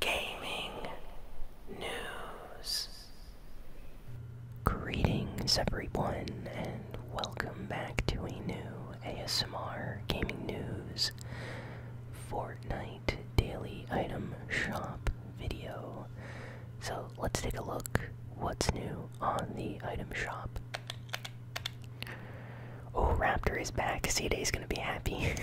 gaming news. Greetings, everyone, and welcome back to a new ASMR Gaming News Fortnite Daily Item Shop video. So let's take a look what's new on the item shop. Oh, Raptor is back. C is gonna be happy.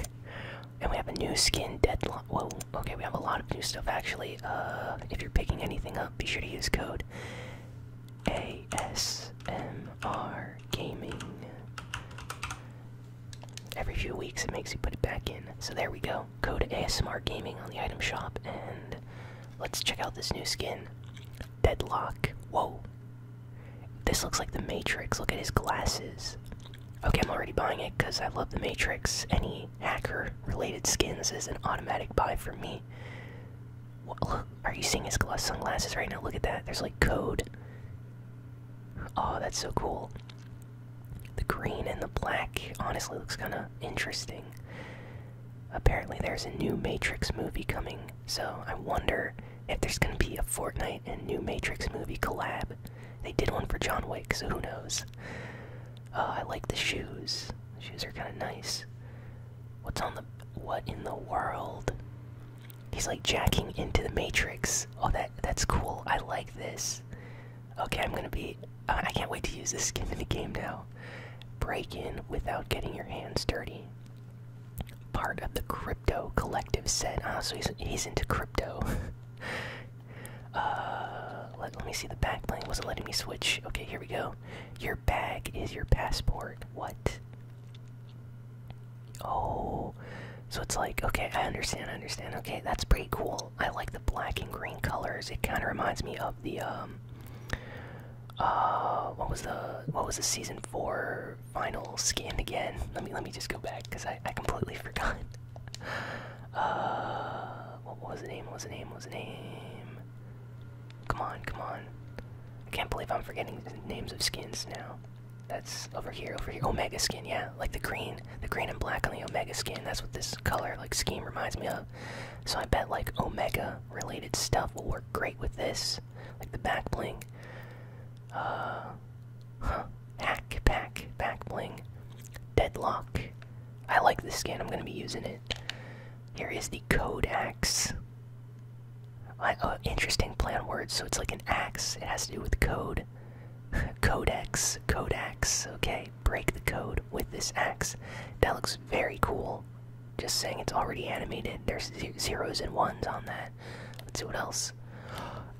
And we have a new skin deadline. Whoa, okay, we have a lot of new stuff actually. Uh, if you're picking anything up, be sure to use code ASMR Gaming. Every few weeks, it makes you put it back in. So there we go. Code ASMR Gaming on the item shop, and let's check out this new skin, Deadlock. Whoa, this looks like the Matrix. Look at his glasses. Okay, I'm already buying it because I love the Matrix. Any hacker related skins is an automatic buy for me. look, are you seeing his sunglasses right now? Look at that. There's like code. Oh, that's so cool. The green and the black honestly looks kind of interesting. Apparently, there's a new Matrix movie coming, so I wonder if there's gonna be a Fortnite and new Matrix movie collab. They did one for John Wick, so who knows? Uh, I like the shoes. The shoes are kind of nice. What's on the what in the world? He's like jacking into the Matrix. Oh, that that's cool. I like this. Okay, I'm gonna be. Uh, I can't wait to use this skin in the game now. Break in without getting your hands dirty part of the crypto collective set. Ah, so he's, he's into crypto. Uh, let, me see the back plane. Wasn't letting me switch. Okay, here we go. Your bag is your passport. What? Oh, so it's like, okay, I understand, I understand. Okay, that's pretty cool. I like the black and green colors. It kind of reminds me of the, um, uh, what was the, what was the season four final skin again. Let me let me just go back because I, I completely forgot. Uh, what was the name? What was the name? What was the name? Come on, come on. I can't believe I'm forgetting the names of skins now. That's over here, over here. Omega skin, yeah, like the green, the green and black on the Omega skin. That's what this color like scheme reminds me of. So I bet like Omega related stuff will work great with this, like the back bling. Uh, Hack, pack, back bling, deadlock. I like this skin. I'm gonna be using it. Here is the code axe. I, uh, interesting plan words. So it's like an axe. It has to do with code. Codex, codex. Okay, break the code with this axe. That looks very cool. Just saying, it's already animated. There's zeros and ones on that. Let's see what else.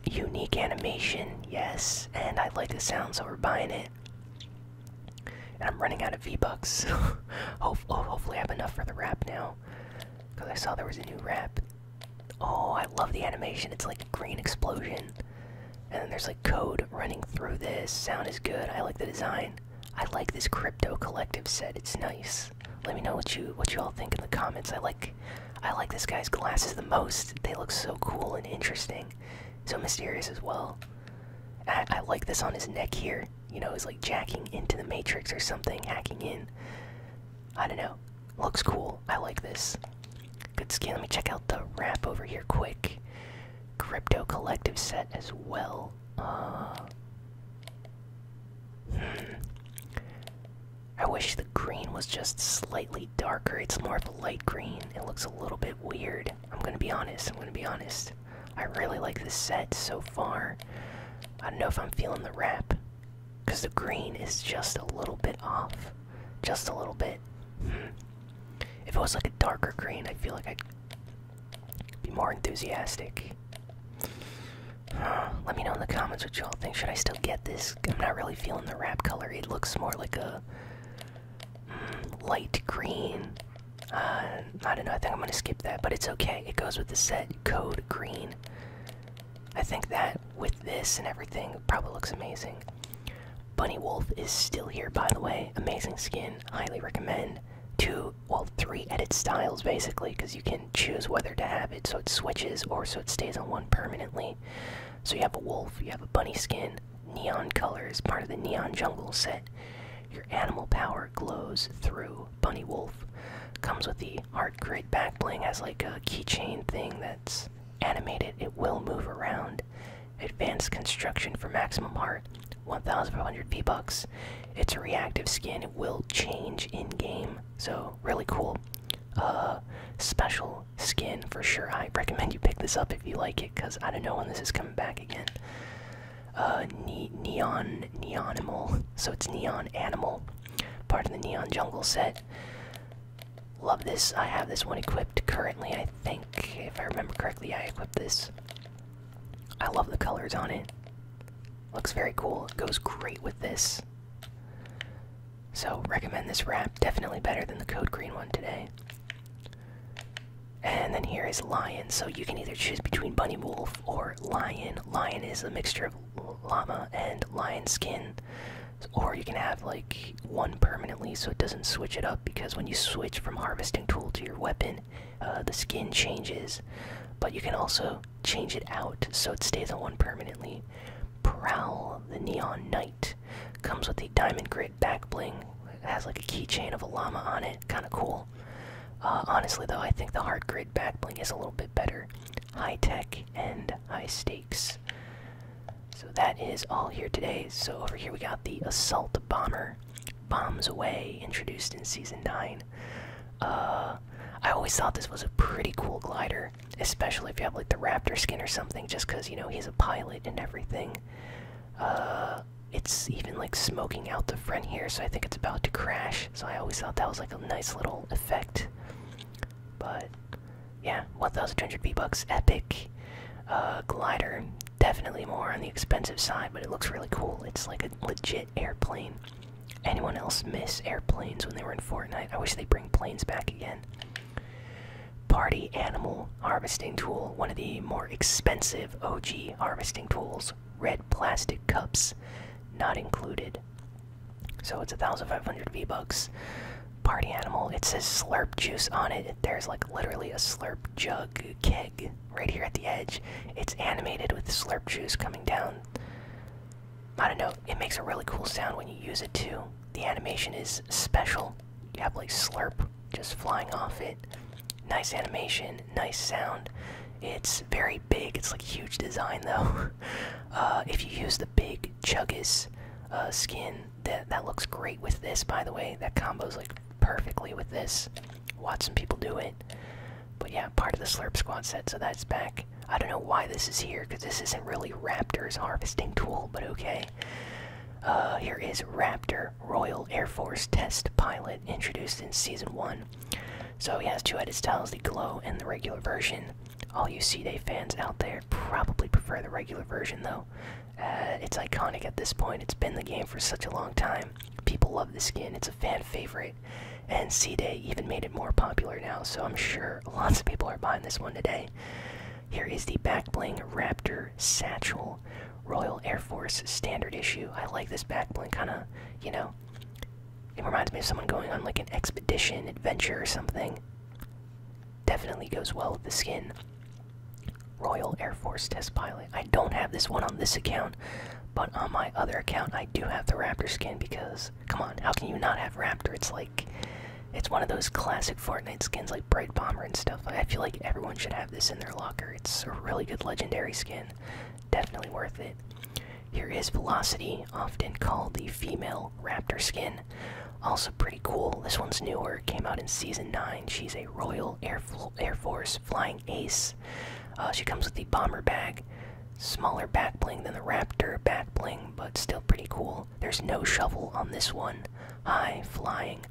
Unique animation, yes, and I like the sound, so we're buying it. And I'm running out of V Bucks. hopefully, I have enough for the wrap now, because I saw there was a new wrap. Oh, I love the animation. It's like a green explosion, and then there's like code running through this. Sound is good. I like the design. I like this crypto collective set. It's nice. Let me know what you what you all think in the comments. I like I like this guy's glasses the most. They look so cool and interesting. So mysterious as well. I like this on his neck here. You know, he's like jacking into the matrix or something, hacking in. I don't know. Looks cool. I like this. Good skin. Let me check out the wrap over here quick. Crypto Collective set as well. Uh, hmm. I wish the green was just slightly darker. It's more of a light green. It looks a little bit weird. I'm gonna be honest. I'm gonna be honest. I really like this set so far. I don't know if I'm feeling the wrap. Because the green is just a little bit off. Just a little bit. Hmm. If it was like a darker green, I feel like i be more enthusiastic. Let me know in the comments what y'all think. Should I still get this? I'm not really feeling the wrap color. It looks more like a mm, light green. Uh, I don't know. I think I'm gonna skip that, but it's okay. It goes with the set code green. I think that with this and everything probably looks amazing. Bunny Wolf is still here, by the way. Amazing skin. Highly recommend. Two well, three edit styles basically, because you can choose whether to have it so it switches or so it stays on one permanently. So you have a wolf, you have a bunny skin, neon colors, part of the neon jungle set. Your animal power glows through bunny wolf. Comes with the art grid back bling as like a keychain thing that's animated. It will move around. Advanced construction for maximum heart. 1,500 V-Bucks. It's a reactive skin. It will change in-game, so really cool. Uh, special skin for sure. I recommend you pick this up if you like it, because I don't know when this is coming back again. Uh, neon Neonimal, so it's Neon Animal, part of the Neon Jungle set. Love this. I have this one equipped currently, I think. If I remember correctly, I equipped this. I love the colors on it. Looks very cool. It goes great with this. So, recommend this wrap. Definitely better than the Code Green one today. And then here is Lion. So, you can either choose between Bunny Wolf or Lion. Lion is a mixture of llama and lion skin. Or you can have like one permanently so it doesn't switch it up because when you switch from harvesting tool to your weapon, uh, the skin changes, but you can also change it out so it stays on one permanently. Prowl, the Neon Knight, comes with a diamond grid back bling. It has like a keychain of a llama on it, kind of cool. Uh, honestly, though, I think the hard grid back bling is a little bit better. High tech and high stakes. So that is all here today. So over here we got the assault bomber, bombs away, introduced in season nine. Uh, I always thought this was a pretty cool glider, especially if you have like the Raptor skin or something, just because you know he's a pilot and everything. Uh, it's even like smoking out the front here, so I think it's about to crash. So I always thought that was like a nice little effect. But yeah, 1,200 V bucks, epic uh, glider. Definitely more on the expensive side, but it looks really cool. It's like a legit airplane. Anyone else miss airplanes when they were in Fortnite? I wish they bring planes back again. Party animal harvesting tool, one of the more expensive OG harvesting tools. Red plastic cups, not included. So it's 1,500 V bucks. Party animal. It says slurp juice on it there's like literally a slurp jug keg right here at the edge. It's animated with slurp juice coming down. I don't know, it makes a really cool sound when you use it too. The animation is special. You have like slurp just flying off it. Nice animation, nice sound. It's very big, it's like huge design though. Uh, if you use the big Chuggis uh, skin, that that looks great with this, by the way. That combos like perfectly with this. Watch some people do it. But yeah, part of the Slurp Squad set, so that's back. I don't know why this is here, because this isn't really Raptor's harvesting tool, but okay. Uh, here is Raptor Royal Air Force Test Pilot, introduced in Season 1. So he has two edit styles, the Glow and the regular version. All you C-Day fans out there probably prefer the regular version, though. Uh, it's iconic at this point. It's been the game for such a long time. People love the skin. It's a fan favorite, and C-Day even made it more popular now. So I'm sure lots of people are buying this one today. Here is the backbling Raptor satchel, Royal Air Force standard issue. I like this backbling kind of, you know. It reminds me of someone going on like an expedition, adventure, or something. Definitely goes well with the skin. Royal Air Force Test Pilot. I don't have this one on this account, but on my other account, I do have the Raptor skin because, come on, how can you not have Raptor? It's like, it's one of those classic Fortnite skins like Bright Bomber and stuff. I feel like everyone should have this in their locker. It's a really good legendary skin. Definitely worth it. Here is Velocity, often called the female Raptor skin. Also pretty cool. This one's newer. Came out in season nine. She's a Royal Air, Force flying ace. Uh, she comes with the bomber bag. Smaller back bling than the Raptor back bling, but still pretty cool. There's no shovel on this one. High flying,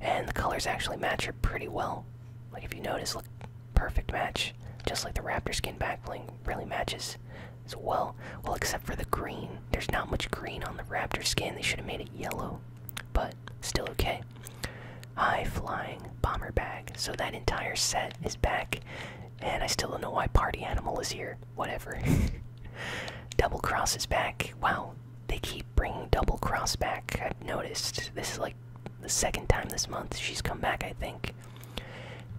and the colors actually match her pretty well. Like if you notice, look, perfect match. Just like the Raptor skin back bling, really matches as well. Well, except for the green there's not much green on the raptor skin. They should have made it yellow, but still okay. High flying bomber bag. So that entire set is back, and I still don't know why Party Animal is here. Whatever. double Cross is back. Wow, they keep bringing Double Cross back. I've noticed. This is like the second time this month she's come back, I think.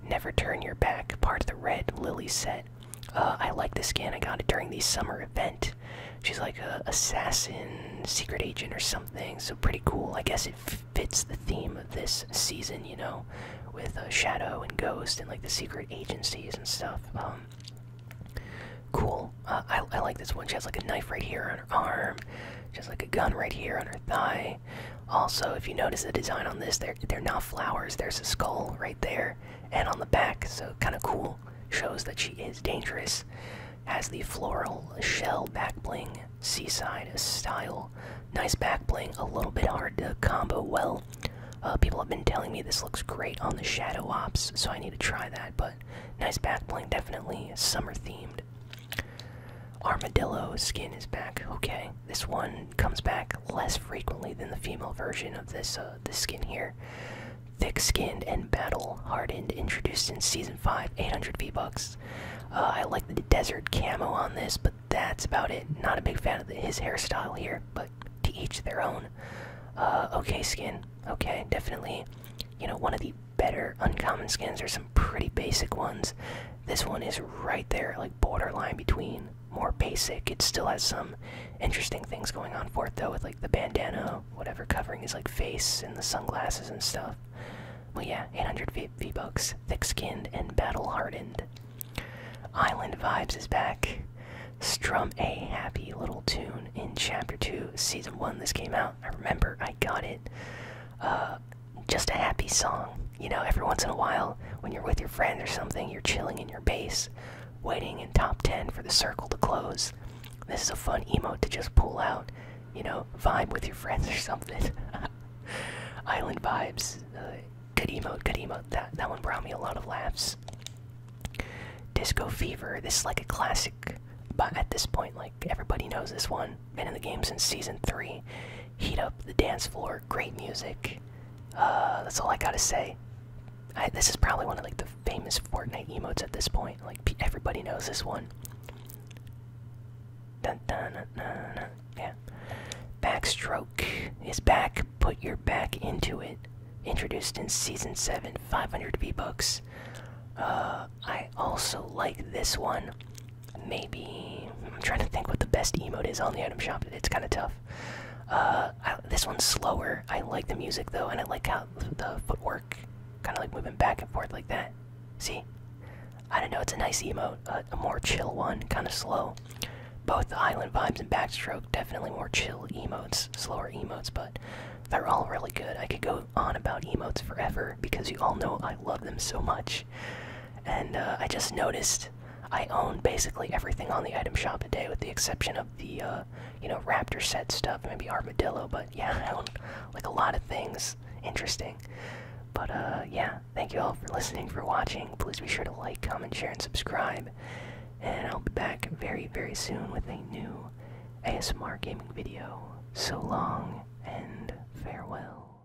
Never Turn Your Back, part of the Red Lily set. Uh, I like this skin. I got it during the summer event. She's like a assassin, secret agent, or something. So pretty cool. I guess it fits the theme of this season, you know, with uh, Shadow and Ghost and like the secret agencies and stuff. Um, cool. Uh, I, like this one. She has like a knife right here on her arm. just like a gun right here on her thigh. Also, if you notice the design on this, they they're not flowers. There's a skull right there and on the back, so kind of cool. Shows that she is dangerous. Has the floral shell back bling, seaside style. Nice back bling, a little bit hard to combo well. Uh, people have been telling me this looks great on the Shadow Ops, so I need to try that, but nice back bling, definitely summer themed. Armadillo skin is back, okay this one comes back less frequently than the female version of this uh, this skin here. Thick-skinned and battle-hardened, introduced in season five, 800 V bucks. Uh, I like the desert camo on this, but that's about it. Not a big fan of his hairstyle here, but to each their own. Uh, okay, skin. Okay, definitely. You know, one of the better uncommon skins are some pretty basic ones. This one is right there, like borderline between more basic. It still has some interesting things going on for it though, with like the bandana, whatever covering his like face, and the sunglasses and stuff. Well, yeah, 800 v, bucks, thick-skinned and battle-hardened. Island Vibes is back. Strum a happy little tune in Chapter Two, Season One. This came out. I remember I got it. Uh, just a happy song. You know, every once in a while when you're with your friend or something, you're chilling in your base, waiting in top 10 for the circle to close. This is a fun emote to just pull out, you know, vibe with your friends or something. Island vibes. Uh, good emote, good emote. That, that one brought me a lot of laughs. Disco Fever. This is like a classic, but at this point, like everybody knows this one. Been in the game since season 3. Heat up the dance floor great music. Uh, that's all I gotta say. this is probably one of like the famous Fortnite emotes at this point. Like everybody knows this one. Yeah. Backstroke is back. Put your back into it. Introduced in season seven, 500 V books. Uh, I also like this one maybe I'm trying to think what the best emote is on the item shop. It's kind of tough. Uh, this one's slower. I like the music though, and I like how the footwork kind of like moving back and forth like that. See, I don't know. It's a nice emote, uh, a more chill one, kind of slow. Both the island vibes and backstroke definitely more chill emotes, slower emotes, but they're all really good. I could go on about emotes forever because you all know I love them so much. And uh, I just noticed I own basically everything on the item shop today, with the exception of the uh, you know Raptor set stuff, maybe Armadillo. But yeah, I own like a lot of things. Interesting. But uh, yeah, thank you all for listening, for watching. Please be sure to like, comment, share, and subscribe. And I'll be back very, very soon with a new ASMR gaming video. So long and farewell.